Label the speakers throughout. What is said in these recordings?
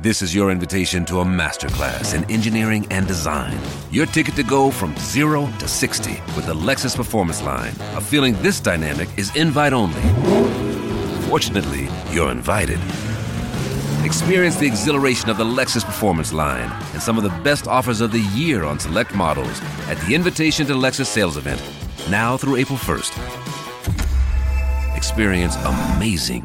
Speaker 1: This is your invitation to a masterclass in engineering and design. Your ticket to go from zero to 60 with the Lexus Performance Line. A feeling this dynamic is invite only. Fortunately, you're invited. Experience the exhilaration of the Lexus Performance Line and some of the best offers of the year on select models at the Invitation to Lexus sales event, now through April 1st. Experience amazing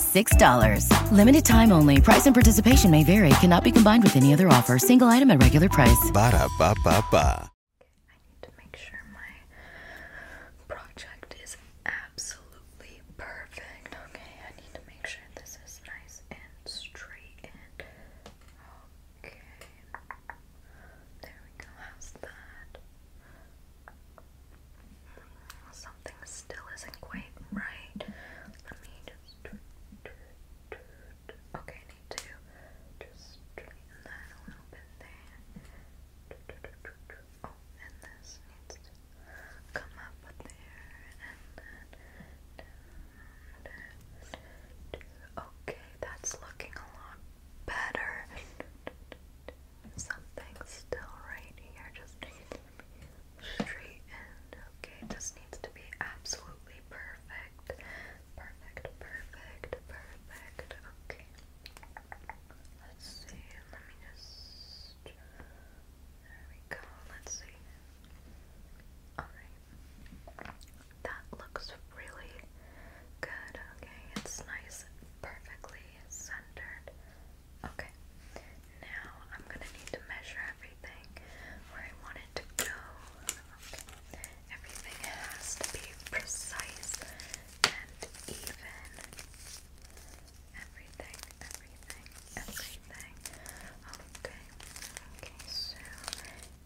Speaker 1: $6. Limited time only. Price and participation may vary. Cannot be combined with any other offer. Single item at regular price. Ba da ba ba ba. I need to make sure my project is absolutely perfect. Okay, I need to make sure this is nice and straight okay. There we go. How's that? Something still isn't quite right. Let me just. Okay, need to just straighten that little bit there. Oh, this come up there Okay, that's looking a lot better something still right here. Just needs to be straightened. Okay, just needs to be absolutely perfect. Perfect, perfect, perfect. Okay. Let's see. Let me just. There we go. Let's see. Alright. That looks really good. Okay, it's nice. Perfectly nicely centered. Okay, now I'm gonna need to measure everything where I want it to go. Okay. Everything has to be precise and even. Everything, everything, everything. Okay, okay, so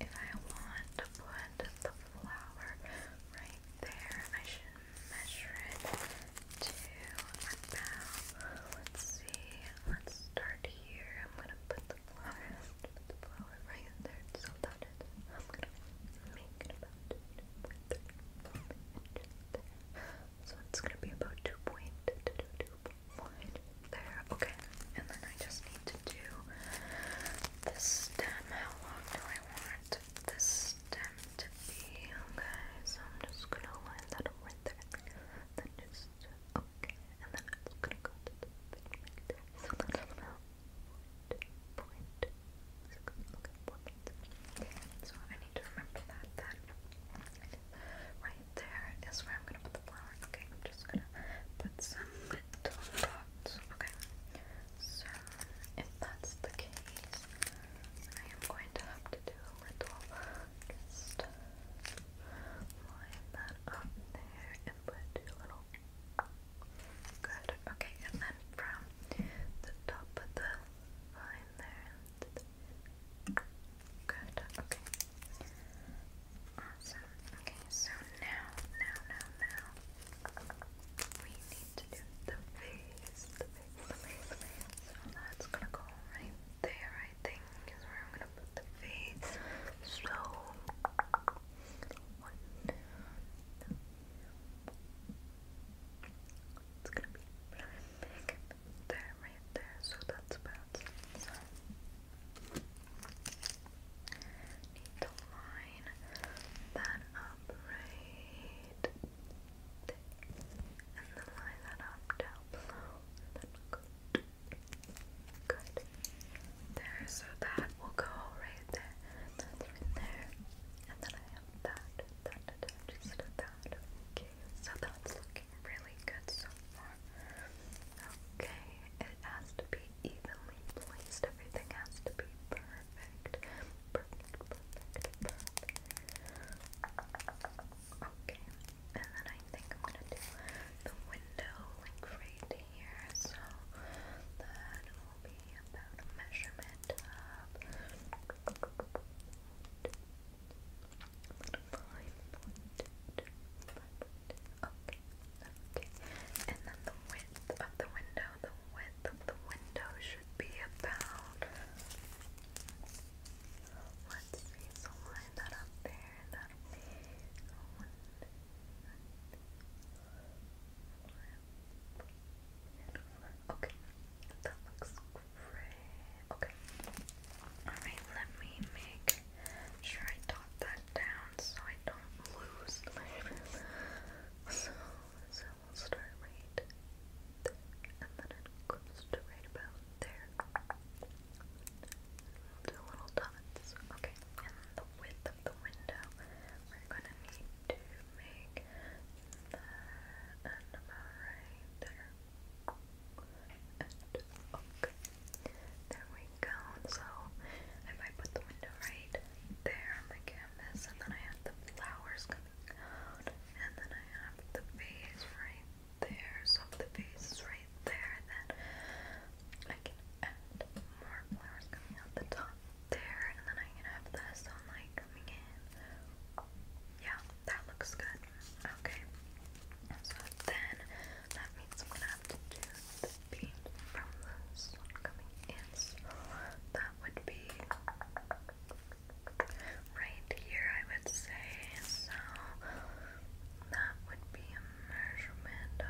Speaker 1: if I want to put the flower right there. I should measure it to about, let's see, let's start here. I'm gonna put the flower, the flower right there. So that is, I'm gonna make it about 2.3 inches there. So it's gonna be about 2.2 to there. Okay, and then I just need to do this stem. How long do I want? the stem to be, okay? So I'm just gonna line that right there. Then just, okay, and then I'm gonna go the thing right so I need to remember that, that right there is where I'm gonna put the flower. Okay, I'm just gonna put some little dots, okay? So if that's the case, I am going to have to do a little just line that up there and put two little good. Okay, and then from the top of the line there good. Okay. Awesome. Okay, so now, now, now, now. We need to do the face, the face, the face, So that's gonna go right there, I think, is I'm gonna put the face. So, one, two, three. It's gonna be big there, right there. So that's about need to line that up right and then line that up down below good. Good. There, so that will go right there. That's right there. And then I have that, that attaches to that. Okay, so that's looking really good so far. Okay, it has to be evenly placed. Everything has to be perfect perfect, perfect, Okay, and then I think I'm gonna do the window like here, so that will be about a measurement of. Okay, okay, and then the width of the window the width of the window should be about. Let's see, so line that up there, that'll be one, Okay, that looks great. Okay, alright, let me make sure I dot that down so I don't lose so we'll start right and then it goes to right about there. do little dots, okay? And the width of the window, we're gonna need to make that and about right there. And okay, there we go. So I might put the window right there on the canvas, and then I have the flowers coming out, and then I have the vase right there. So the vase is right there, then I can add more flowers coming out the top there, and then I can have the sunlight coming in. Yeah, that looks good. Okay. So then that means I'm gonna have to do be from this one coming in. that would be right here, I would say. So that would be a measurement of.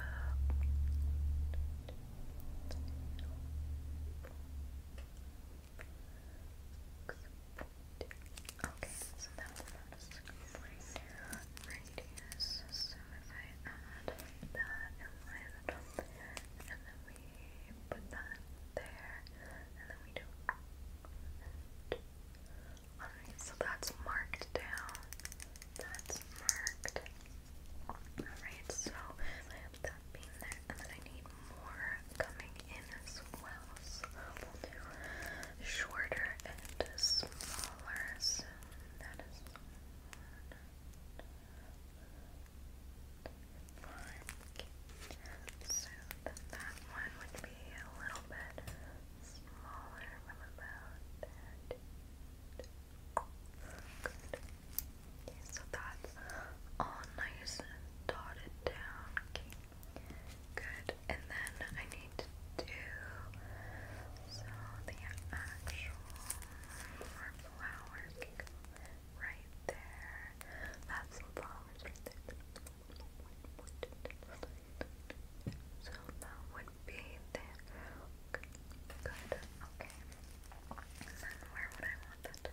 Speaker 1: Okay, so that one is right Radius. So if I add that, and then Alright, so that's marked down. That's marked. Alright, so I have that being there, and then I need more coming in as well. So we'll do shorter and smaller. So that is one. Like so that one would be a little bit smaller from about that. so that's all nice and dotted down. Good. And then I need to do so the actual more flowers right there. Have flowers So that would be Good. Okay. And then where would I want that?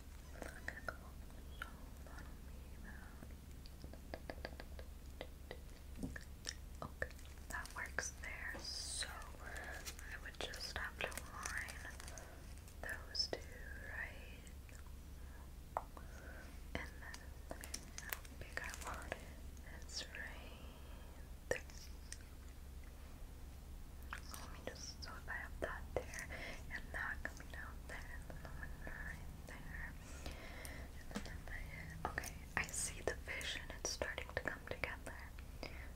Speaker 1: Okay, oh, that works there. So I would just have to line those two right. And then okay, I I want this right there. So let me just so if I have that there and that coming out there and the one right there. And then okay, I see the vision, it's starting to come together.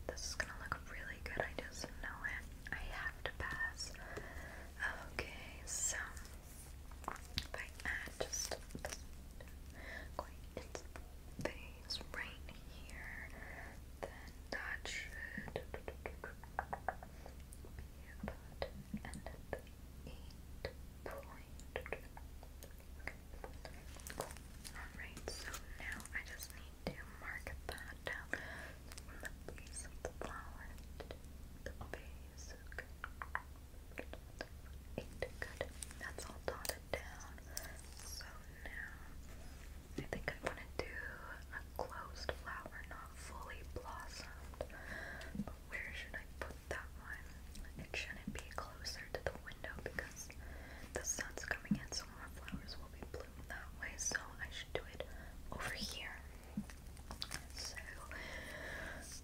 Speaker 1: This is gonna look really good, I just know it. I have to pass. Okay, so if I add just this quite its face right here, then that should be about an eight point. Cool. Alright, so now I just need to mark that down the base of the flower the base. Okay. Good. That's all dotted down. So now I think I want to do a closed flower, not fully blossomed. Where should I put that one? It shouldn't be closer to the window because the sun's coming in, so more flowers will be blooming that way. So I should do it over here. So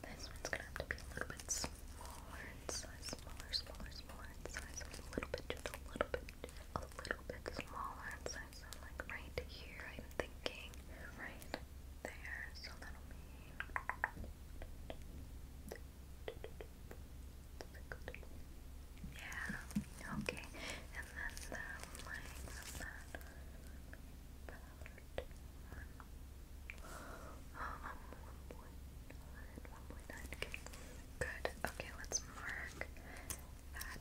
Speaker 1: this one's gonna have to be a little bit smaller in size, smaller, smaller, smaller in size, a little bit, just a little bit, a little bit smaller in size. So like right here, I'm thinking right there. So that'll be. Yeah, okay. And then the line that oh, Good. Okay, let's mark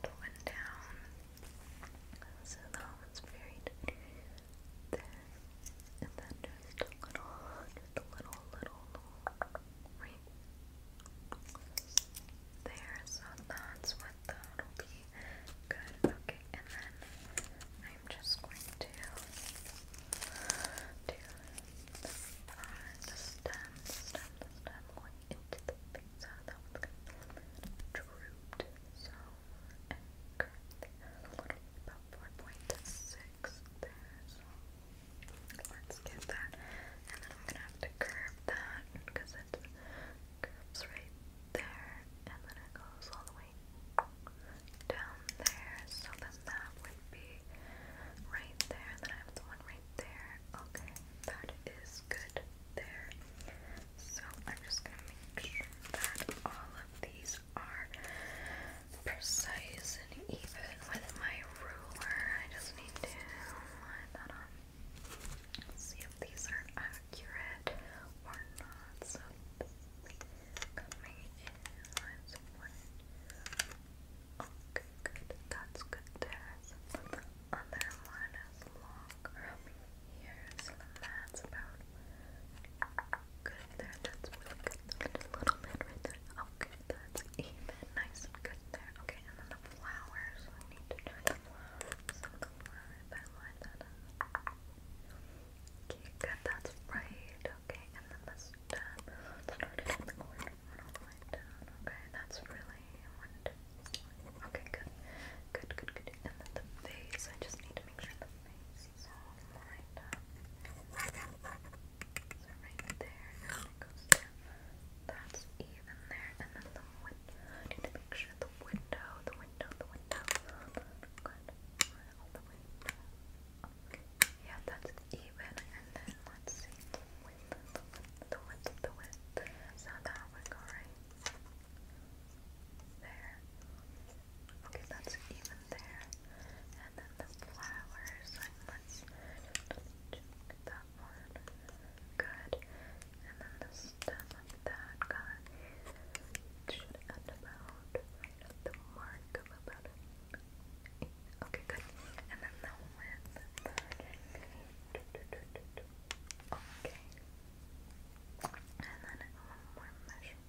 Speaker 1: that one down. So that one's buried And then just a little, just a little, little, there. So that's what that'll be. Good. Okay, and then I'm just going to do the front, stem, stem, the stem going into the face. So that one's going to be So and curve about four point six legs there, so let's get that. And then I'm gonna have to curve that because it curves right there, and then it goes all the way down there. So then that would be right there. Then I have the one right there. Okay, that is good there. So I'm just gonna make sure that all of these are precise and even with my ruler. I just need to line that up. See if these are accurate or not. So coming in Okay, good. That's good there. other one is long from here. So about Good there, that's really good. a little bit right there. Okay, that's even nice and good there. Okay, and then the flowers. I need to do line that up. Okay, good, that's right. Okay, and then the stem. Start in the corner and all the way Okay, that's really one, two, three. Okay, good. Good, good, good. And then the face. I just need to make sure the face so lined up. right there, and it goes down. That's even there, and then the window. need to make sure the window, the window, the window. Good. All the way Yeah, that's even, and then let's see the width, the width, the width, So that would go right there. Okay, that's even there. And then the flowers, let's check that one. Good. And then the stem of that guy Okay, And then the width. Okay. And then one more measure.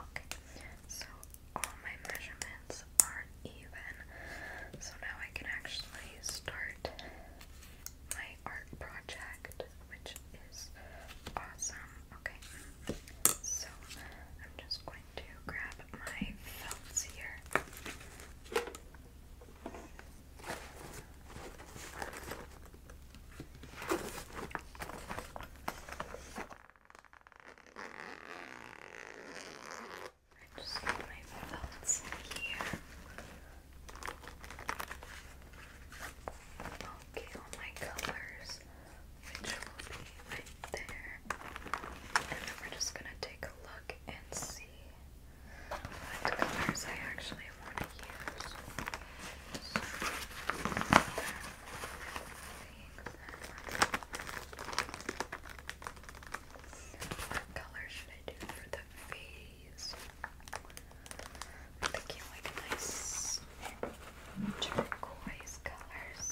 Speaker 1: Okay, so all my measurements are even. So now I can actually start my art project, which is awesome. Okay, so I'm just going to grab my felts here. I just got my felts here. Okay, all my colors which will be right there. And then we're just gonna take a look and see what colors I actually want to use. what color should I do for the face? thinking like nice turquoise colors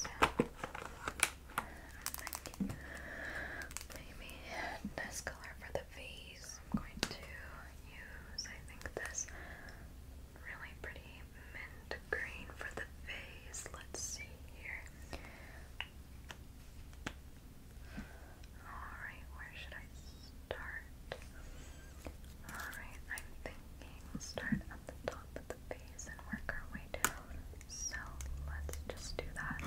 Speaker 1: maybe this color for the face. I'm going to use, I think, this really pretty mint green for the face. Let's see here. Alright, where should I start? Alright, I'm thinking start at the top the base and work our way down. So let's just do that.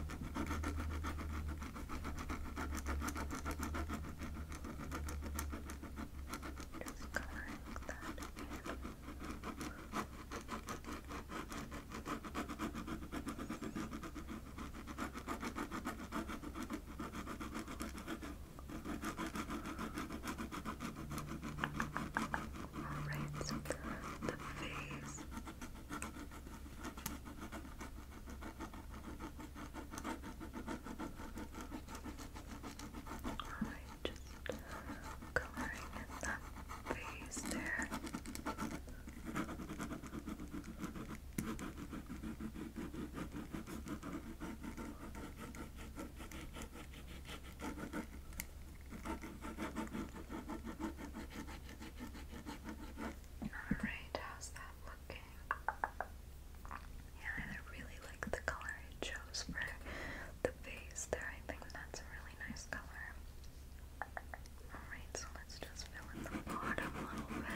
Speaker 1: Just covering that in. Okay. Alright, so the face. Alright, just coloring in that face there. Alright, how's that looking? Yeah, I really like the color it chose for the face there. I think that's a really nice color. Alright, so let's just fill in the bottom a little bit.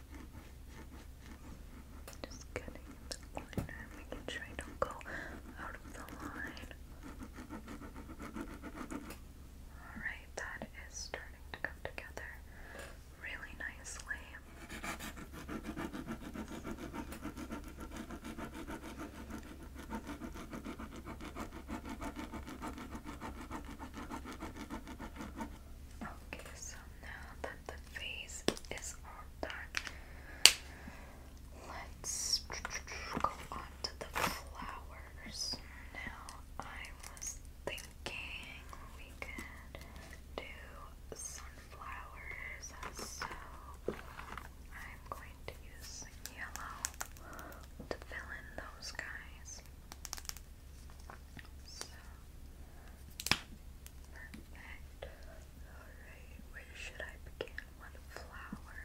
Speaker 1: Just getting in the corner, making sure I don't go out of the line. Alright, that is starting to come together really nicely. Okay, so now that the face is all done, let's go on to the flowers. Now, I was thinking we could do sunflowers, so I'm going to use yellow to fill in those guys. So perfect. Alright, where should I begin? One flower.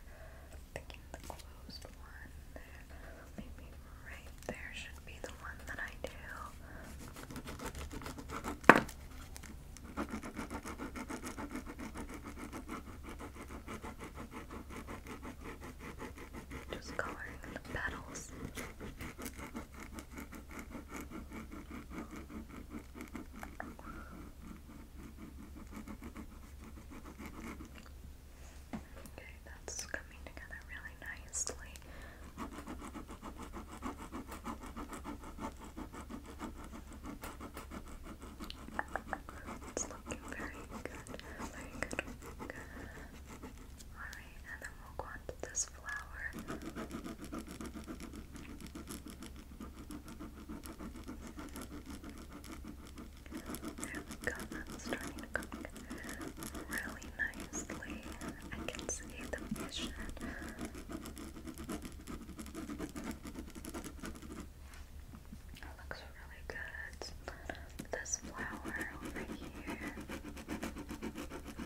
Speaker 1: thinking the closed one there. Maybe right there should be the one that I do. Just coloring the petals. Okay, that's coming together really nicely. It's looking very good, very good, good. Alright, and then we'll go on this flower. There we go, that's starting to cook really nicely. I can see the vision. It looks really good. This flower over here. There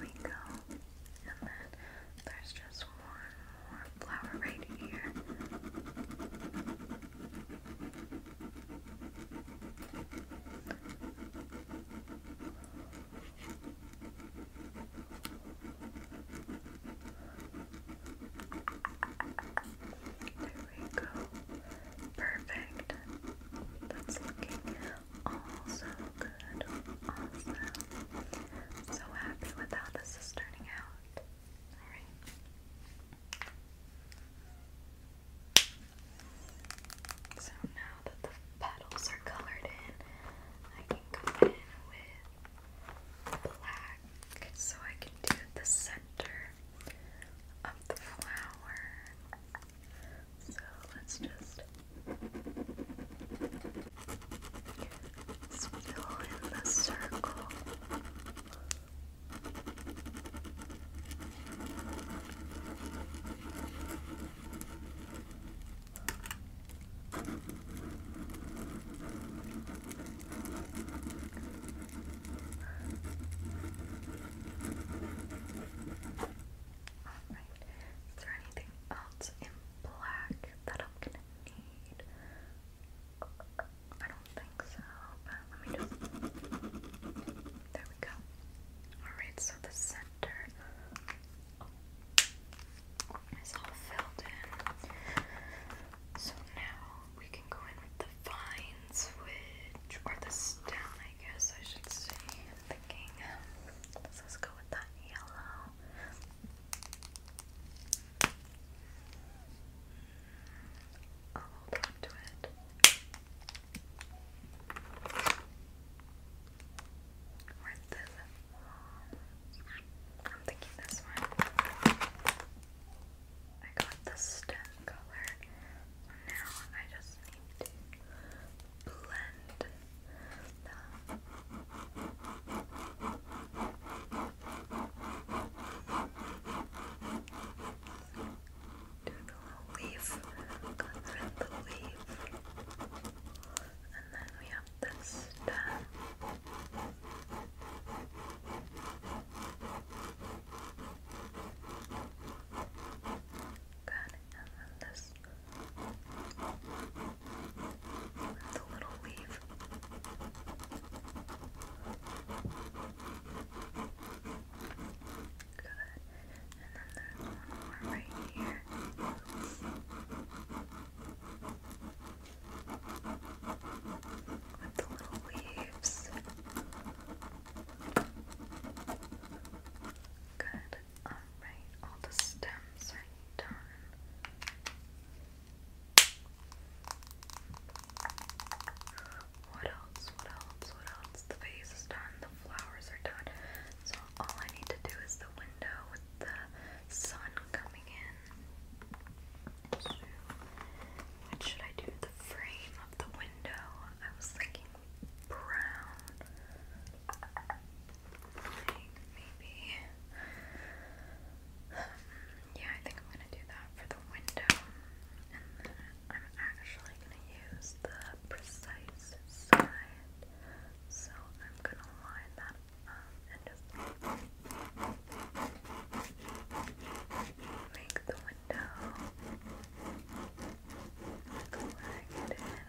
Speaker 1: we go. And then there's just one more right here. There we go. Perfect. That's looking also Awesome. so happy with how this is turning out. Alright. So now that the petals are colored in, I can go in with black so I can do the center of the flower. So let's just Still in the circle. All right. Is there anything else black that i gonna need. I don't think so, but let me just. There we go. Alright, so the center is all filled in. So now we can go in with the vines, which, or the stem, I guess I should say. thinking, let's go with that yellow. I'll hold on to it. Or this I'm thinking this one. I got the stem color. Now I just need blend them. the little leaf, the leaf, and then we have this and then this with the little leaf. Good. And then there's one right here. With the little leaves. Good. Alright, all the stems are done. What else? What else? What else? The vase is done, the flowers are done. So all I need to do is the window with the sun coming in. what should I do? The frame of the window. I was thinking brown. Like maybe. yeah, I think I'm gonna do that for the window. And then I'm actually gonna use the precise side. So I'm gonna line that up and just make the window look like it is.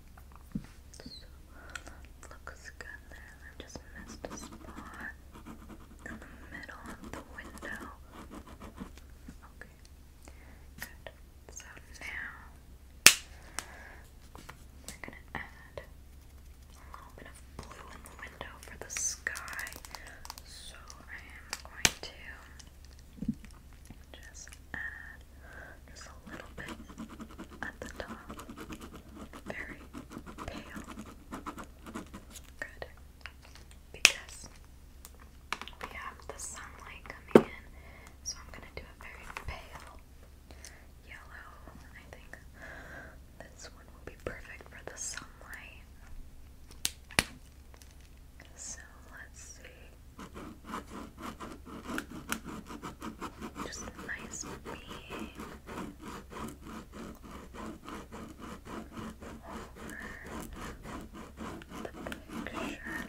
Speaker 1: looks good there. I just missed a spot in the middle of the window. Okay, good. So now we're gonna add a little bit of blue in the window for the sky. So I am going to just add just a little bit at the top. Very pale. Good. Because we have the sunlight coming in, so I'm gonna do a very pale yellow. I think this one will be perfect for the sunlight. So let's see. Just a nice beam over the picture.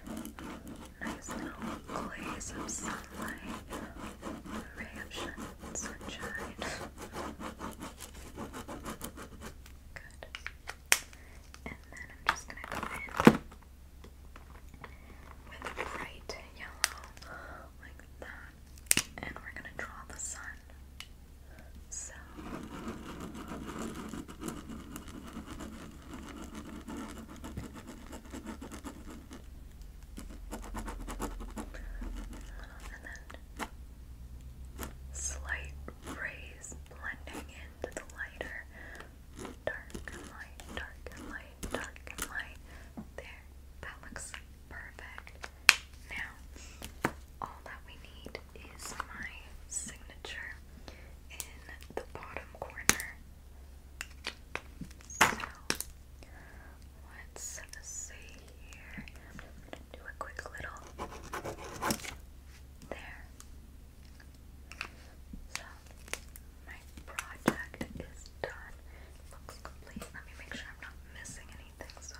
Speaker 1: Nice little glaze of sunlight, a ray of sunshine. Good. And then I'm just gonna go in with bright yellow like that. And we're gonna draw the sun. So and then slight rays blending into the lighter dark and light, dark and light light, dark There, that looks perfect. Now, all that we need is my signature in the bottom corner. So, let's here. do a quick little. There. So my project is done. looks complete. Let me make sure I'm not missing anything. So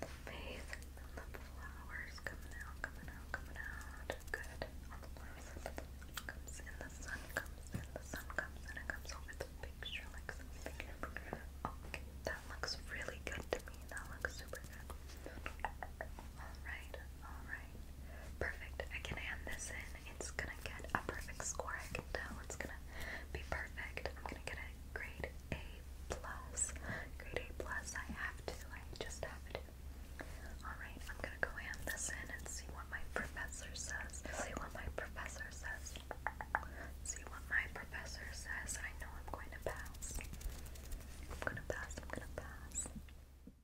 Speaker 1: the face the flowers coming out, coming out, coming out. Good. the flowers. Comes in, the sun comes in, the sun comes in, comes over the picture like something. Okay, that looks really good to me. That looks super good. Alright, Alright, perfect. I can hand this in. It's gonna get a perfect score, I can tell. It's gonna be perfect. I'm gonna get a grade A plus. Grade A plus, I have to, I just have to. Alright, I'm gonna go hand this in and see what my professor says. See what my professor says. See what my professor says. I know I'm going to pass. I'm gonna pass, I'm gonna pass.